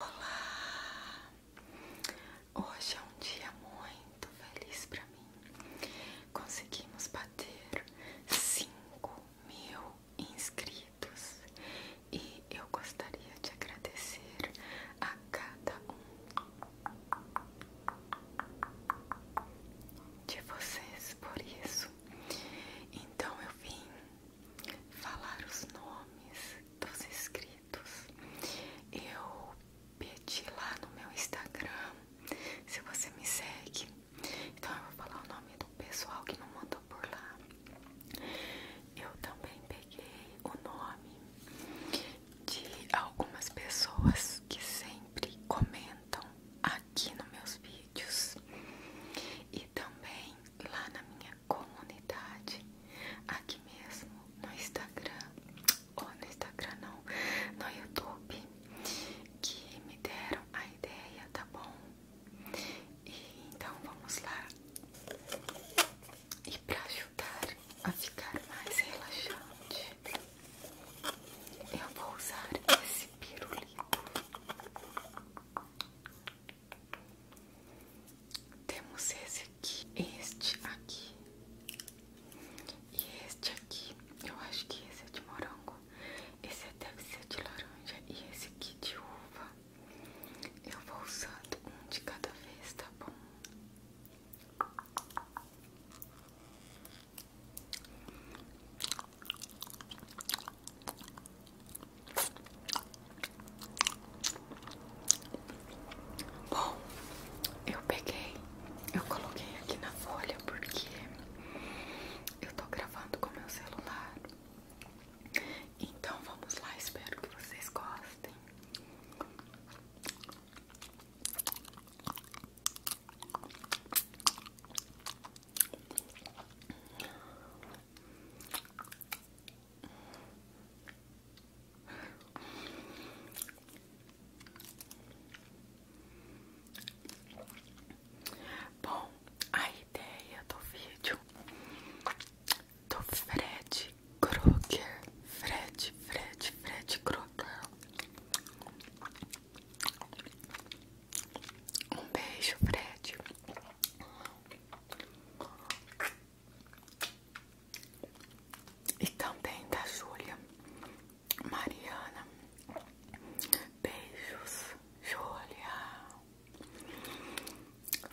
Olá! Hoje é um dia muito feliz para mim. Conseguimos bater 5 mil inscritos e eu gostaria de agradecer a cada um de vocês por isso. Então eu vim falar os nomes dos inscritos. Eu pedi lá no meu Instagram, se você me segue, então eu vou falar o nome do pessoal que não mandou por lá. Eu também peguei o nome de algumas pessoas que sempre comentam aqui nos meus vídeos e também lá na minha comunidade aqui mesmo no Instagram, ou no Instagram não, no YouTube, que me deram a ideia, tá bom? E então vamos lá. E para ajudar a ficar mais relaxante, eu vou usar esse pirulito. Temos esse aqui, este aqui e este aqui. Eu acho que esse é de morango, esse é, deve ser de laranja e esse aqui de uva. Eu vou usando um de cada vez, tá bom? Bom, eu peguei, eu coloquei aqui na folha porque eu tô gravando com meu celular. Então vamos lá, espero que vocês gostem. Bom, a ideia do vídeo do Fred Krueger, Fred, Fred, Fred Krueger um beijo, Fred. E também da Júlia. Mariana. Beijos, Júlia.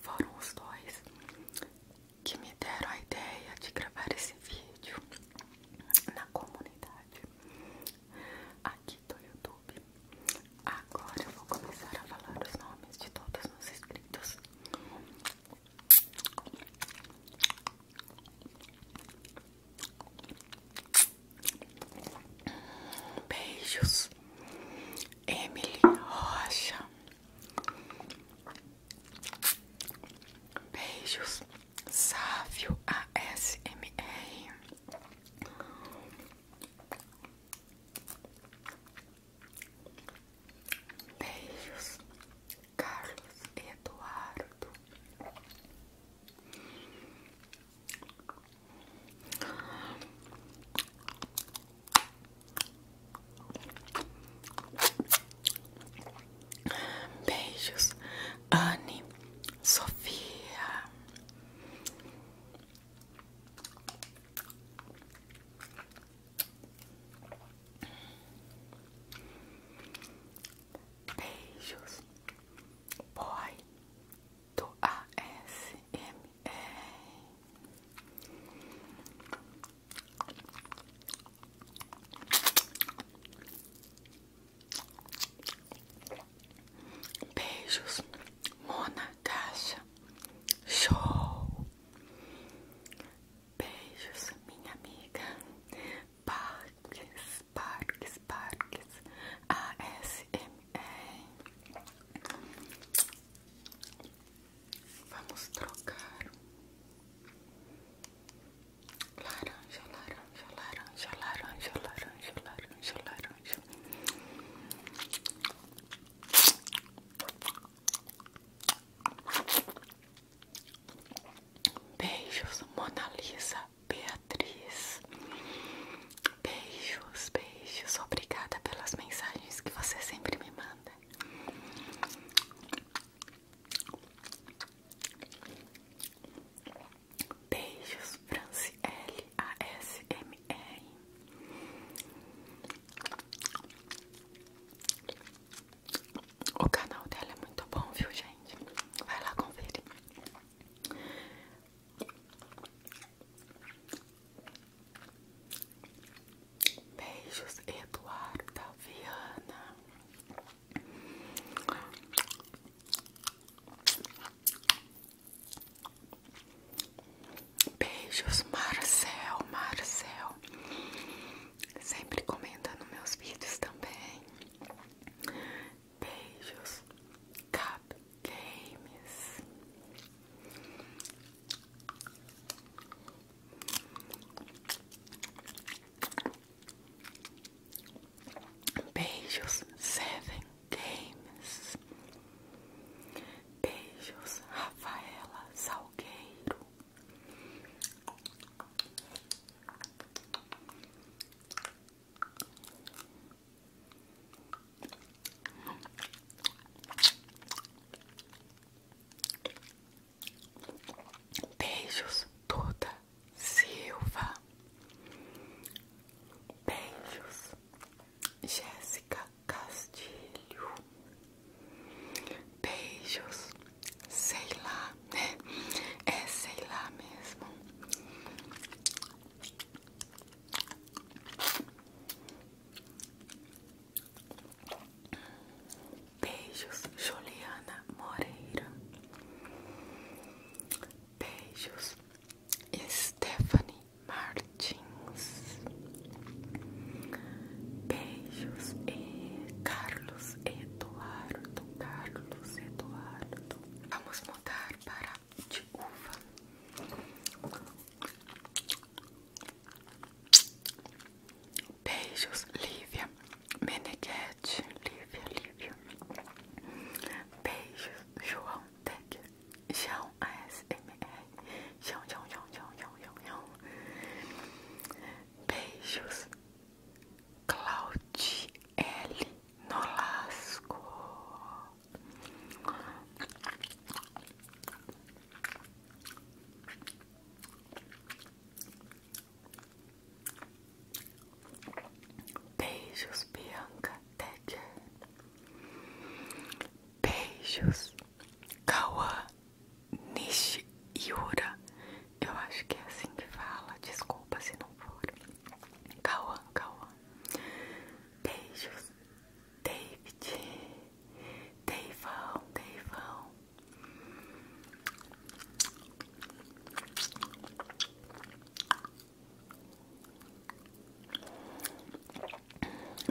Foram os dois que me deram a ideia de gravar esse vídeo na comunidade aqui do YouTube. Agora eu vou começar a falar os nomes de todos os inscritos. Beijos, Emily Rocha. Beijos, Sávio ASMR. Beijos, Carlos Eduardo. Beijos, Anne, Sofia. Beijos, boy do ASMR. Beijos, Mona Caixa, show. Beijos, minha amiga. Parques, parques, parques. ASMR. Vamos trocar. Laranja, laranja, laranja, laranja, laranja, laranja, laranja. Beijos, Mona Lisa, Beatriz. Beijos, beijos. Obrigada pelas mensagens que você sempre me manda. Beijos, Franci L A S M R. O canal dela é muito bom, viu, gente? Vai lá conferir. Beijos, Eduardo Viana. Beijos, Marcel, Marcel. Sempre comenta nos meus vídeos também. Beijos, Cap Games. Beijos, Seven Games. Beijos, Rafaela Salgueiro. Beijos, Toda Silva. Beijos, Jéssica Castilho. Beijos, sei lá, né? É sei lá mesmo. Beijos, Juliana Moreira. Beijos, Stephanie Martins. Beijos, eh, Carlos Eduardo. Carlos Eduardo. Vamos mudar para de uva. Beijos, Lívia Meneghetti. Lívia, Lívia. Beijos, João Tech. João ASMR. João, João, João, João, João, João, Beijos, Claude L. Nolasco. Beijos, Bianca Tedger. Beijos, Kawa Nishiura. Eu acho que é assim que fala. Desculpa se não for. Kawan, Kawan. Beijos, David, Deivão, Deivão.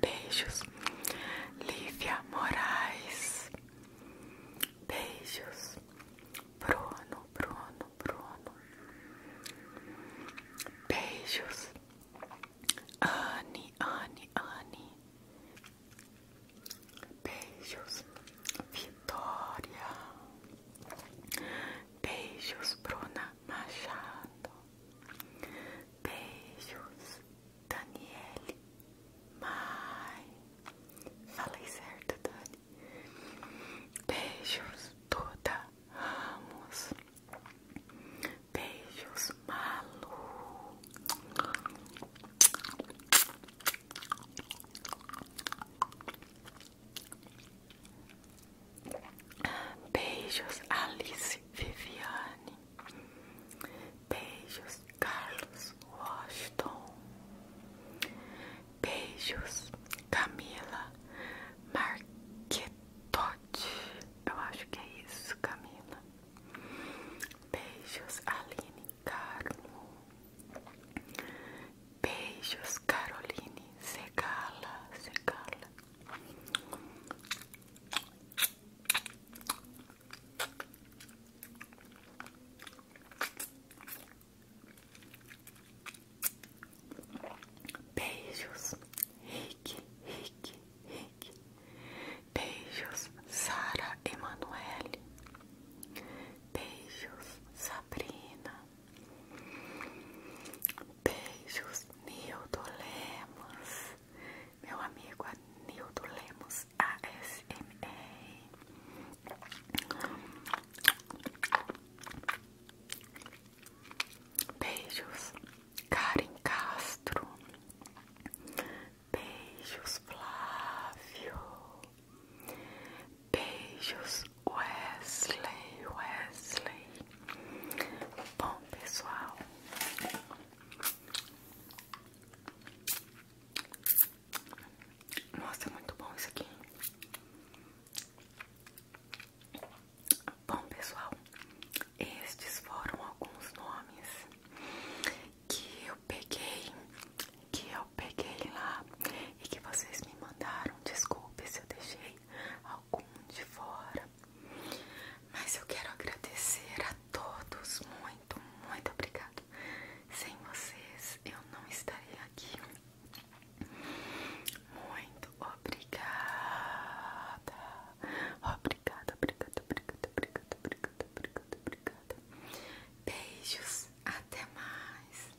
Beijos, Lívia Moraes. Beijos, Bruno, Bruno, Bruno. Beijos, Anne, Anne, Anne. Beijos, Vitória. Beijos, Bruna Machado. Beijos, Daniele. Mai. Falei certo, Dani. Beijos, Duda Ramos. Beijos, Malu. Beijos, Alice Viviane. Beijos, Carlos Washington. Beijos, Camila Marqueto. Pote. Eu acho que é isso, Camila. Beijos, Aline Carmo. Beijos, Caroline. Segala, segala. Beijos, Rick, Rick, Rick. Beijos, Sara Emanuele. Beijos, Sabrina. Beijos, Nildo Lemos. Meu amigo é Nildo Lemos ASMR. Beijos, Karen Castro. Beijos, Flávio. Beijos, Wesley, Wesley. Bom, pessoal. Nossa, é muito bom isso aqui. Bom, pessoal, estes foram alguns nomes que eu peguei, que eu peguei lá e que vocês me mandaram. Desculpe se eu deixei algum de fora, mas eu quero agradecer a todos. Muito, muito obrigado. Sem vocês eu não estaria aqui. Muito obrigada. Obrigada, obrigada, obrigada, obrigada, obrigada, obrigada, obrigada. Beijos, até mais.